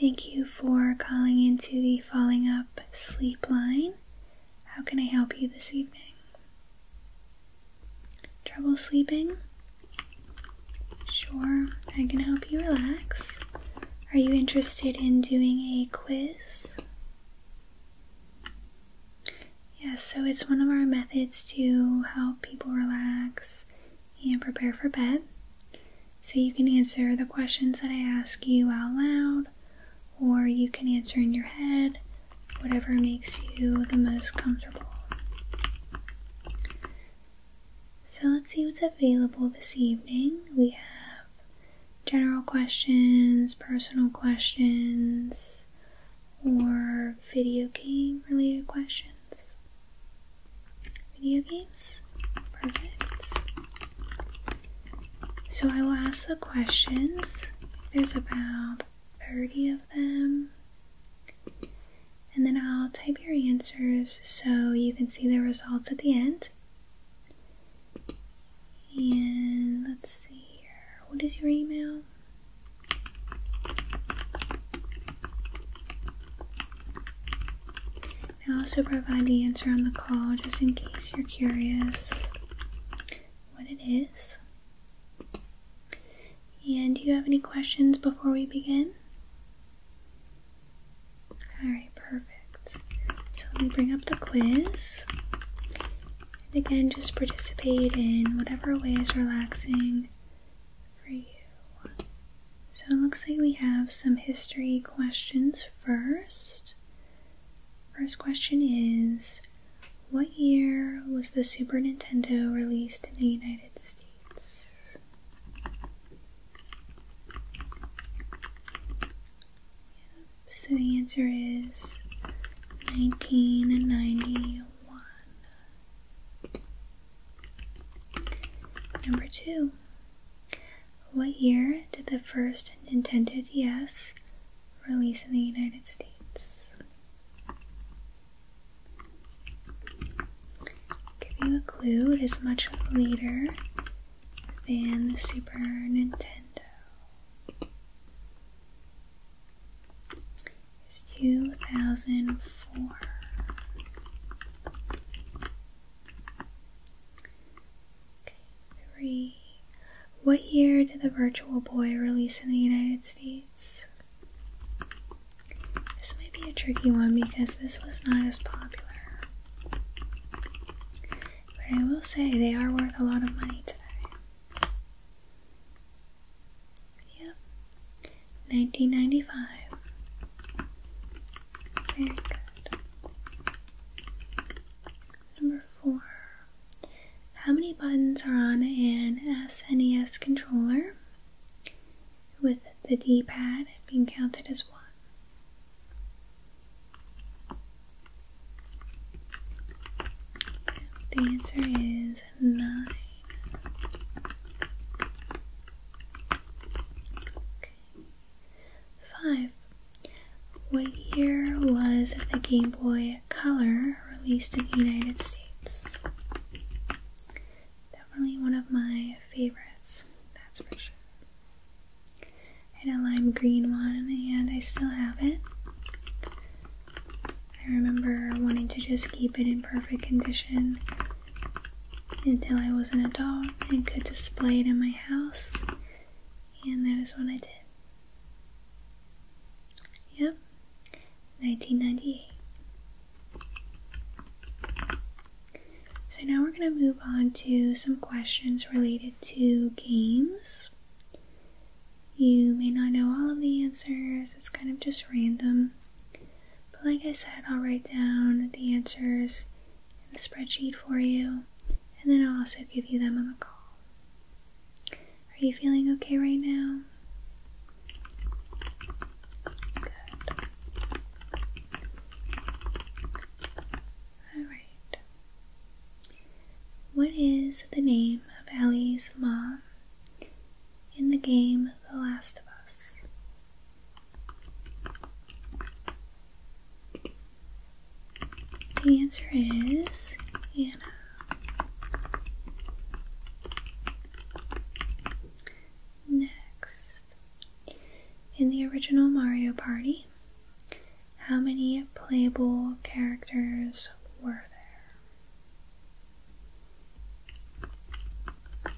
Thank you for calling into the Falling Up Sleep line. How can I help you this evening? Trouble sleeping? Sure, I can help you relax. Are you interested in doing a quiz? Yes, so it's one of our methods to help people relax and prepare for bed. So you can answer the questions that I ask you out loud, or you can answer in your head, whatever makes you the most comfortable. So let's see what's available this evening. We have general questions, personal questions, or video game related questions. Video games? Perfect. So I will ask the questions. There's about 30 of them. And then I'll type your answers so you can see the results at the end. And let's see here. What is your email? I also provide the answer on the call just in case you're curious what it is. And do you have any questions before we begin? Alright, perfect. So let me bring up the quiz. And again, just participate in whatever way is relaxing for you. So it looks like we have some history questions first. First question is What year was the Super Nintendo released in the United States? So the answer is 1991. Number two. What year did the first Nintendo DS release in the United States? give you a clue, it is much later and the Super Nintendo. is 2004. Okay, three. What year did the Virtual Boy release in the United States? This might be a tricky one because this was not as popular. But I will say they are worth a lot of money today. Yep. 1995. Very good. Number four. How many buttons are on an SNES controller? With the D pad being counted as one. The answer is nine. Five. What year was the Game Boy Color released in the United States? Definitely one of my favorites, that's for sure. I had a lime green one and I still have it. I remember wanting to just keep it in perfect condition until I was an adult and could display it in my house, and that is what I did. Yep, 1998. So now we're going to move on to some questions related to games. You may not know all of the answers, it's kind of just random. But like I said, I'll write down the answers in the spreadsheet for you, and then I'll also give you them on the call. Are you feeling okay right now? Alright. What is the name of Ellie's mom in the game The Last of Us? The answer is Anna. Next, in the original Mario Party, how many playable characters were there?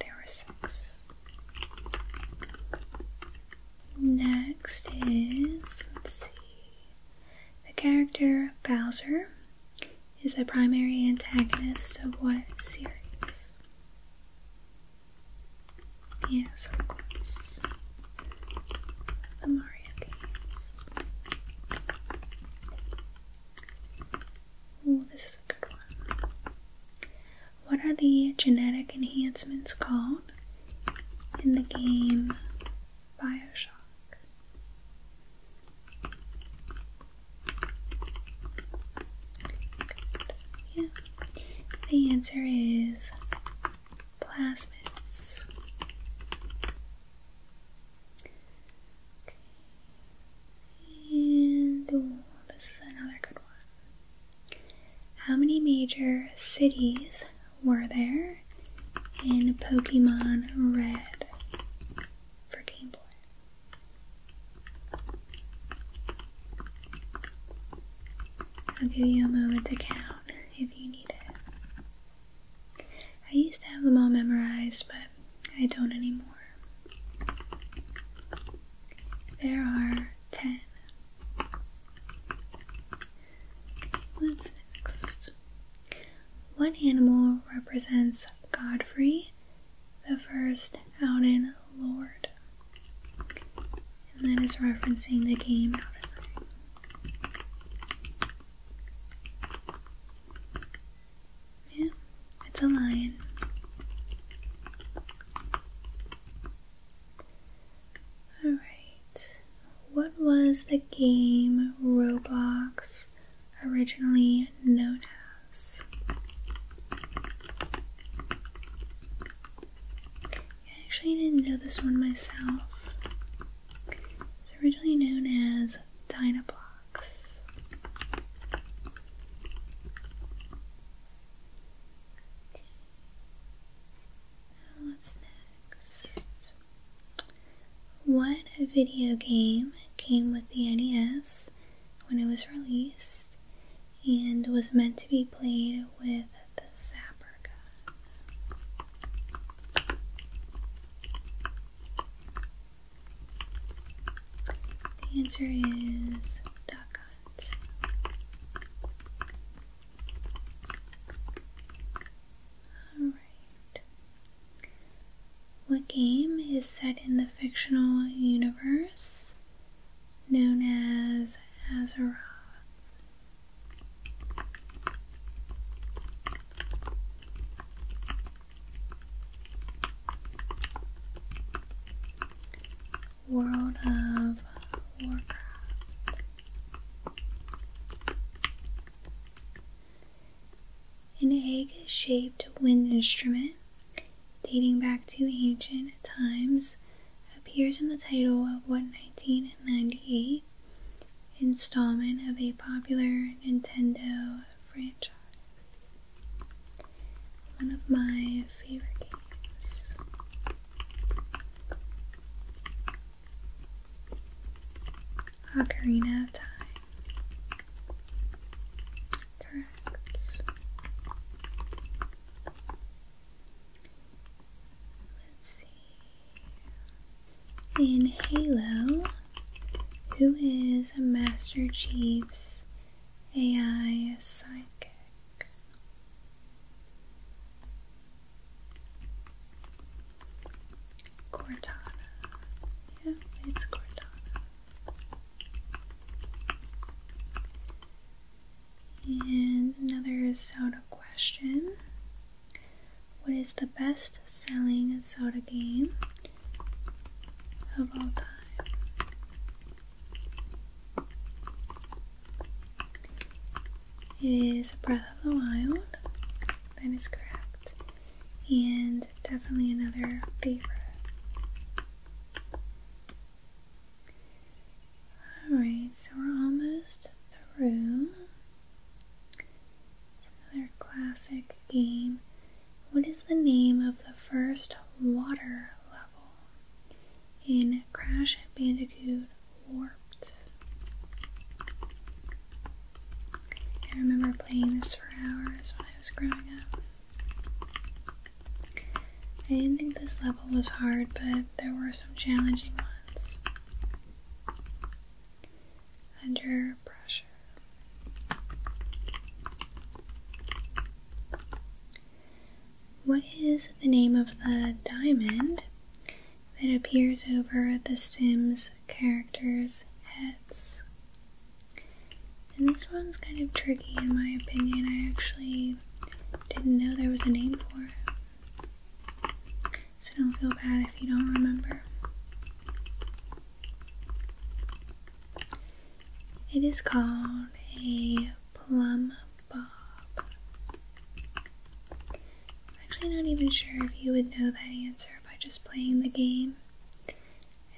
There were six. Next is, let's see, the character Bowser is the primary antagonist of what series? Yes, of course. The Mario games. Oh, this is a good one. What are the genetic enhancements called in the game Bioshock? Yeah. The answer is plasmids. And this is another good one. How many major cities were there in Pokemon Red for Game Boy? I'll give you a moment to count if you need it. I used to have them all memorized, but I don't anymore. There are ten. What's next? What animal represents Godfrey the first Outed Lord. And that is referencing the game Outed Yeah, it's a lion. Alright, what was the game Roblox originally known as. I actually didn't know this one myself. It's originally known as Dynablox. Now what's next? What video game came with the NES? when it was released and was meant to be played with the zapper gun. The answer is dot. hunt. Alright, what game is set in the fictional universe known as Azeroth? World of Warcraft. An egg-shaped wind instrument dating back to ancient times, appears in the title of what 1998 installment of a popular Nintendo franchise. One of my favorite games. Ocarina of Time. Correct. Let's see. In Halo, who is a Master Chief's AI psychic? Cortana. Yeah, it's Cortana. And another soda question. What is the best selling soda game of all time? It is Breath of the Wild. That is correct. And definitely another favorite. Alright, so we're almost through. another classic game. What is the name of the first water level in Crash Bandicoot Warped? I remember playing this for hours when I was growing up. I didn't think this level was hard, but there were some challenging ones. Under pressure. What is the name of the diamond that appears over the Sims characters' heads? And this one's kind of tricky in my opinion. I actually didn't know there was a name for it. So don't feel bad if you don't remember. It is called a plum bob. actually not even sure if you would know that answer by just playing the game. I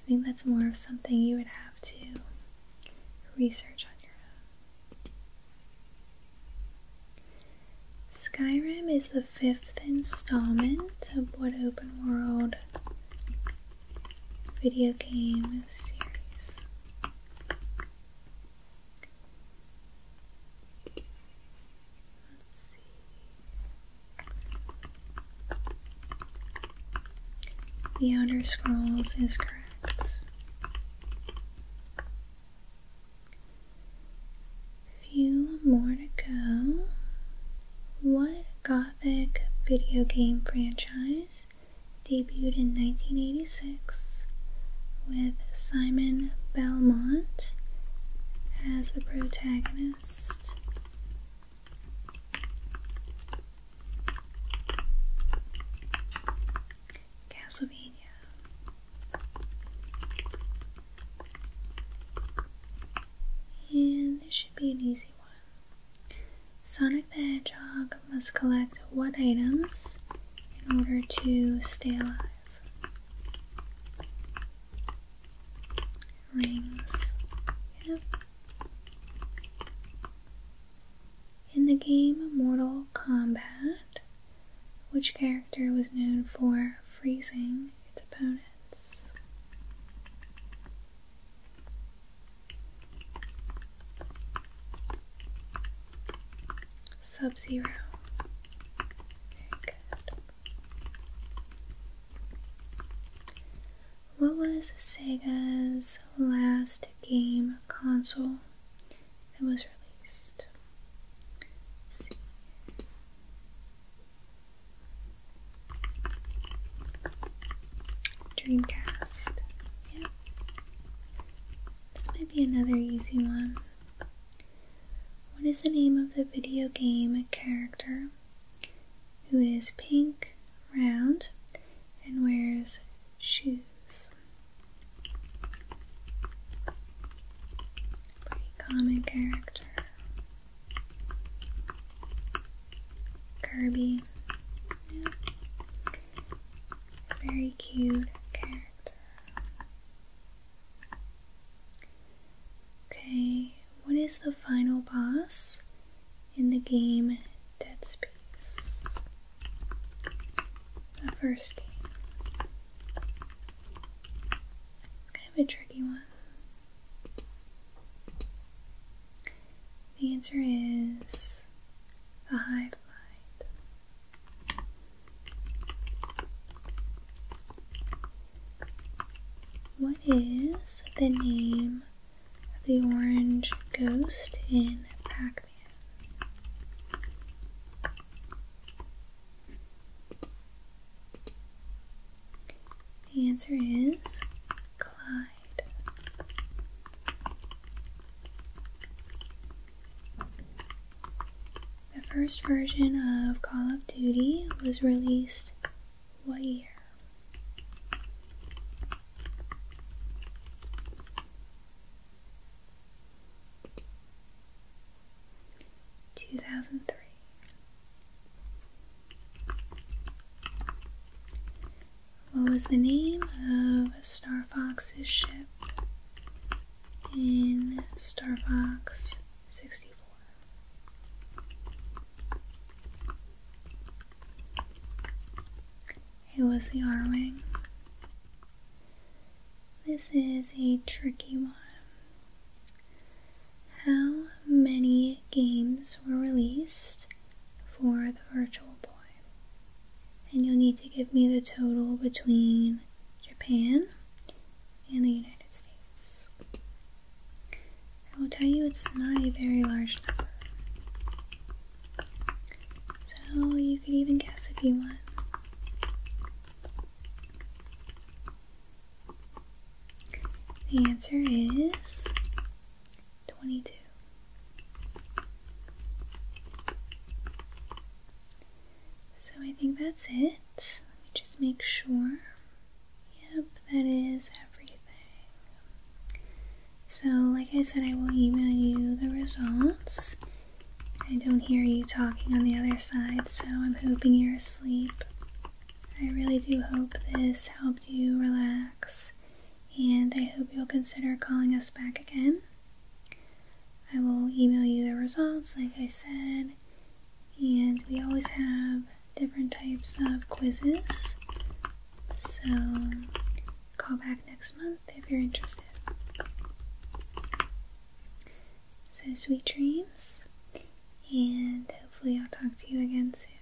think that's more of something you would have to research on your own. Skyrim is the fifth installment of what open world video game series. The Outer Scrolls is correct. Few more to go. What Gothic video game franchise debuted in 1986 with Simon Belmont as the protagonist? Castlevania. And this should be an easy one. Sonic the Hedgehog must collect what items in order to stay alive? In the game Mortal Kombat, which character was known for freezing its opponents? Sub Zero. What was Sega's last game console that was released? Dreamcast. Yep. This might be another easy one. What is the name of the video game character who is pink, round, and wears shoes? Pretty common character. Kirby. Very cute character. Okay, what is the final boss in the game Dead Space? The first game. Kind of a tricky one. The answer is the Hive Mind. What is the name of the orange ghost in Pac Man? The answer is Clyde. The first version of Call of Duty was released what year? Two thousand three. What was the name of Star Fox's ship in Star 64. It was the R Wing. This is a tricky one. How many games were released for the Virtual Boy? And you'll need to give me the total between Japan in the United States. I will tell you it's not a very large number. So you could even guess if you want. The answer is 22. So I think that's it. Let me just make sure. Yep, that is everything. So, like I said, I will email you the results. I don't hear you talking on the other side, so I'm hoping you're asleep. I really do hope this helped you relax, and I hope you'll consider calling us back again. I will email you the results, like I said. And we always have different types of quizzes. So call back next month if you're interested. So sweet dreams, and hopefully I'll talk to you again soon.